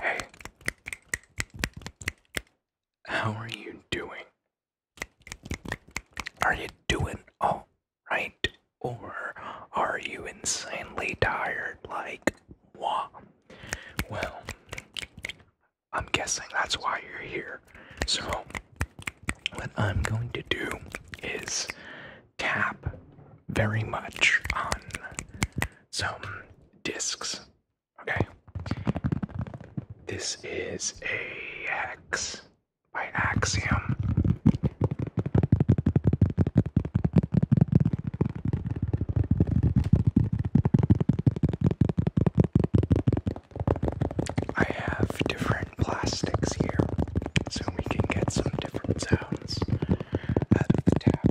Hey, how are you doing? Are you doing all right? Or are you insanely tired like moi? Well, I'm guessing that's why you're here. So, what I'm going to do is Tap very much on some discs. Okay. This is a X hex by Axiom. I have different plastics here so we can get some different sounds sounds out of the tapping.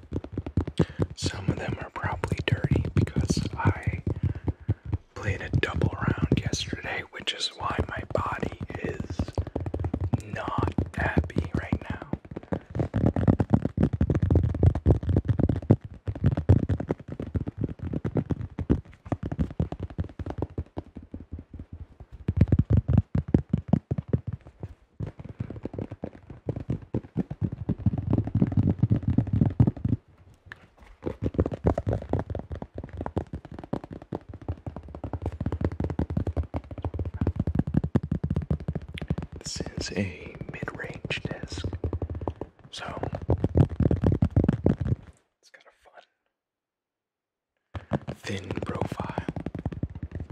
Some of them are probably dirty because I played a double round yesterday, which is why my body is not happy right now. This is a mid-range disc, so it's got fun thin profile.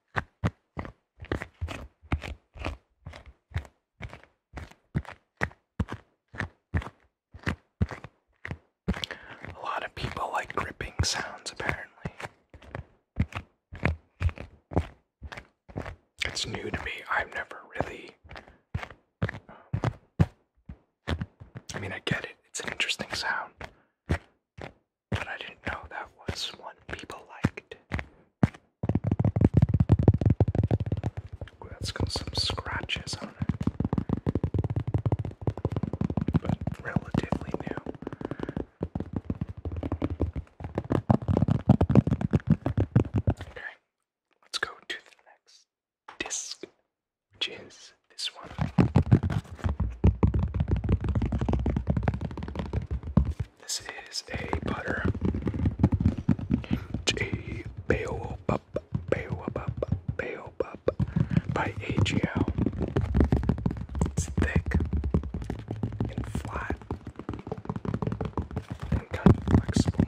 A lot of people like gripping sounds, apparently. It's new to me. I've never really. Um, I mean, I get it, it's an interesting sound but I didn't know that was one people liked. that's got some scratches on it. But relatively new. let's go to the next disc, which is this one. This is a butter and a baobab, baobab, baobab by AGL. It's thick and flat and flexible.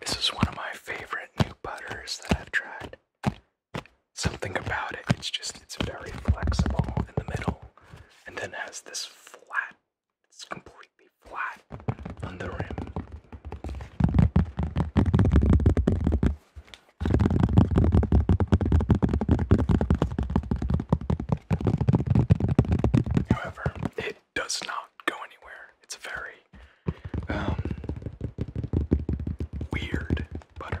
This is one of my favorite new butters that I've tried. Something about it, it's just, it's very flexible in the middle and then has this flat, it's completely flat on the rim. However, it it does not go anywhere. It's very um, weird butter.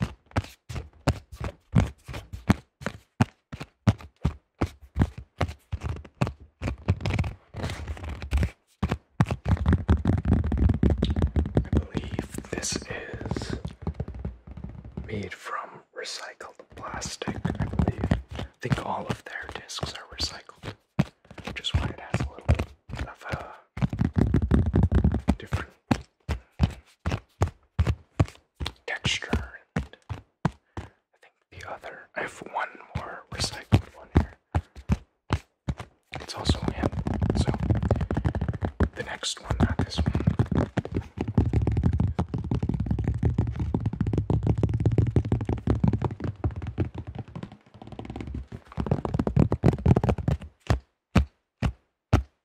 I believe this is made from recycled plastic, I believe. I think all of their discs are recycled, which why it has a little bit of a different texture. And I think the other. I have one more recycled one here. It's also him. So the next one, not this one.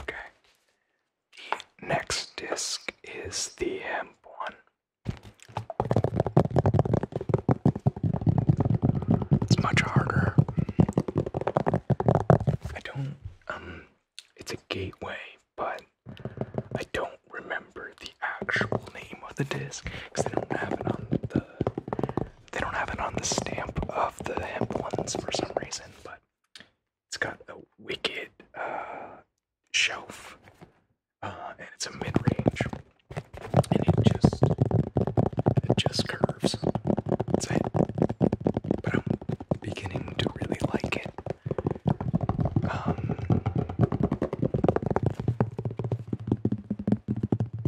Okay. The next disc is the M one. It's much harder. I don't um it's a gateway, but I don't remember the actual name of the disc because they don't have it on the they don't have it on the stamp of the hemp ones for some reason, but it's got a wicked uh, shelf, uh, and it's a mid-range, and it just it just curves. That's it. But I'm beginning to really like it. Um,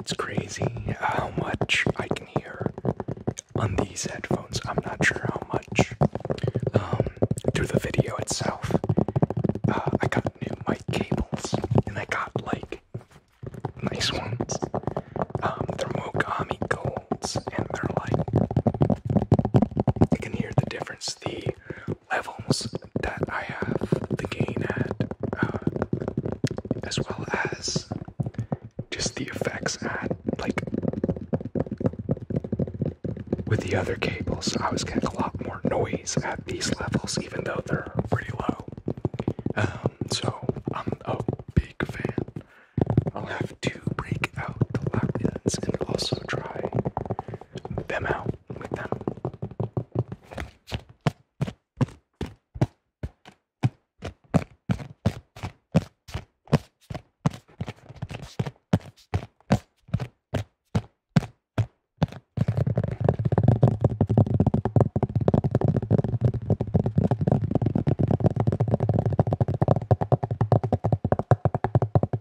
It's crazy how much I can hear on these headphones. I'm not sure how much. Um, through the video itself, uh, I got new mic cables and I got like nice ones. Um, they're Mogami Golds and they're like, you can hear the difference. The levels that I have the gain at, uh, as well as just the effects at, like, with the other cables, I was getting a lot more noise at these levels, even though they're pretty low. Um, so I'm a big fan. I'll have to break out the Latvians and also try them out with them.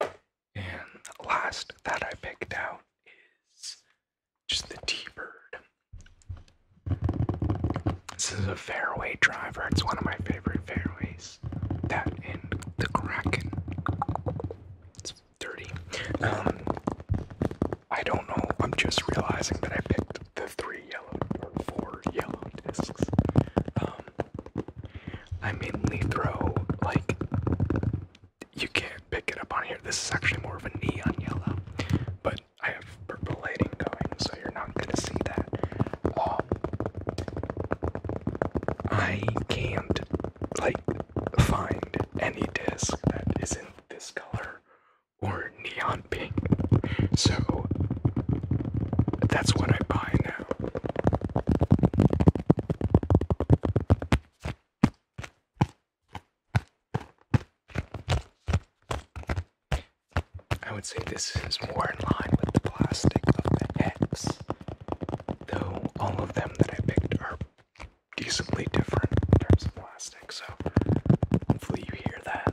and the last that I picked out is just the T-Bird. This is a fairway driver. It's one of my favorite fairways. That and the Kraken. It's dirty. Um, I don't know. I'm just realizing that I picked the three yellow or four yellow discs. Um, I mainly throw like you can't pick it up on here. This is actually more of a neon yellow, but I have purple lighting going, so you're not gonna see that. Oh. I can't like find any disc that isn't this color or neon pink, so that's what I buy now. I would say this is more in line with the plastic of the X, though all of them that I picked are decently different in terms of plastic, so hopefully you hear that.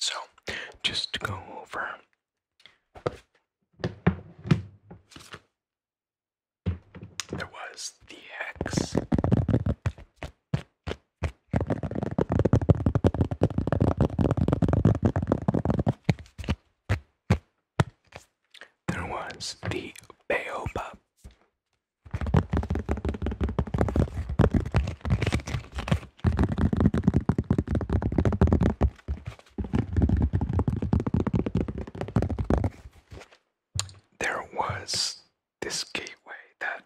So, just to go over there was the X. There was the baobab there was this gateway that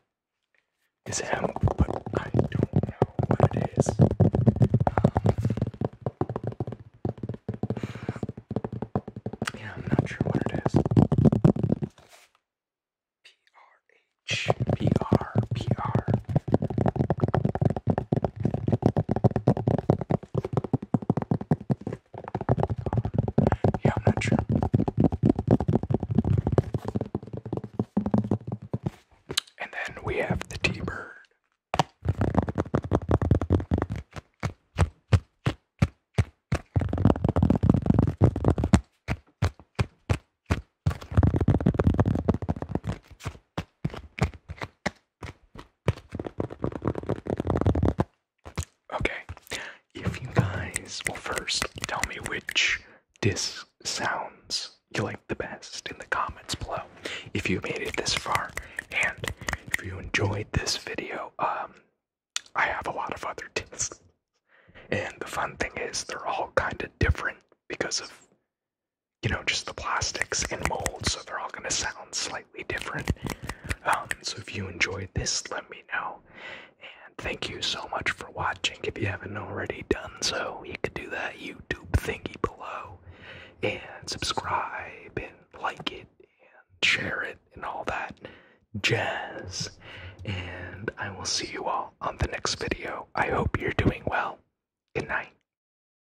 is him, but I don't know what it is. Um, yeah, I'm not sure what it is. P R H P R P R. Yeah, I'm not sure. And then we have the T Bird. Okay, if you guys well, first tell me which disc sounds you like the best in the comments below if you made it this far and if you enjoyed this video um i have a lot of other discs and the fun thing is they're all kind of different because of you know, just the plastics and molds, so they're all going to sound slightly different. Um, so if you enjoyed this, let me know. And thank you so much for watching. If you haven't already done so, you could do that YouTube thingy below and subscribe and like it and share it and all that jazz. And I will see you all on the next video. I hope you're doing well. Good night.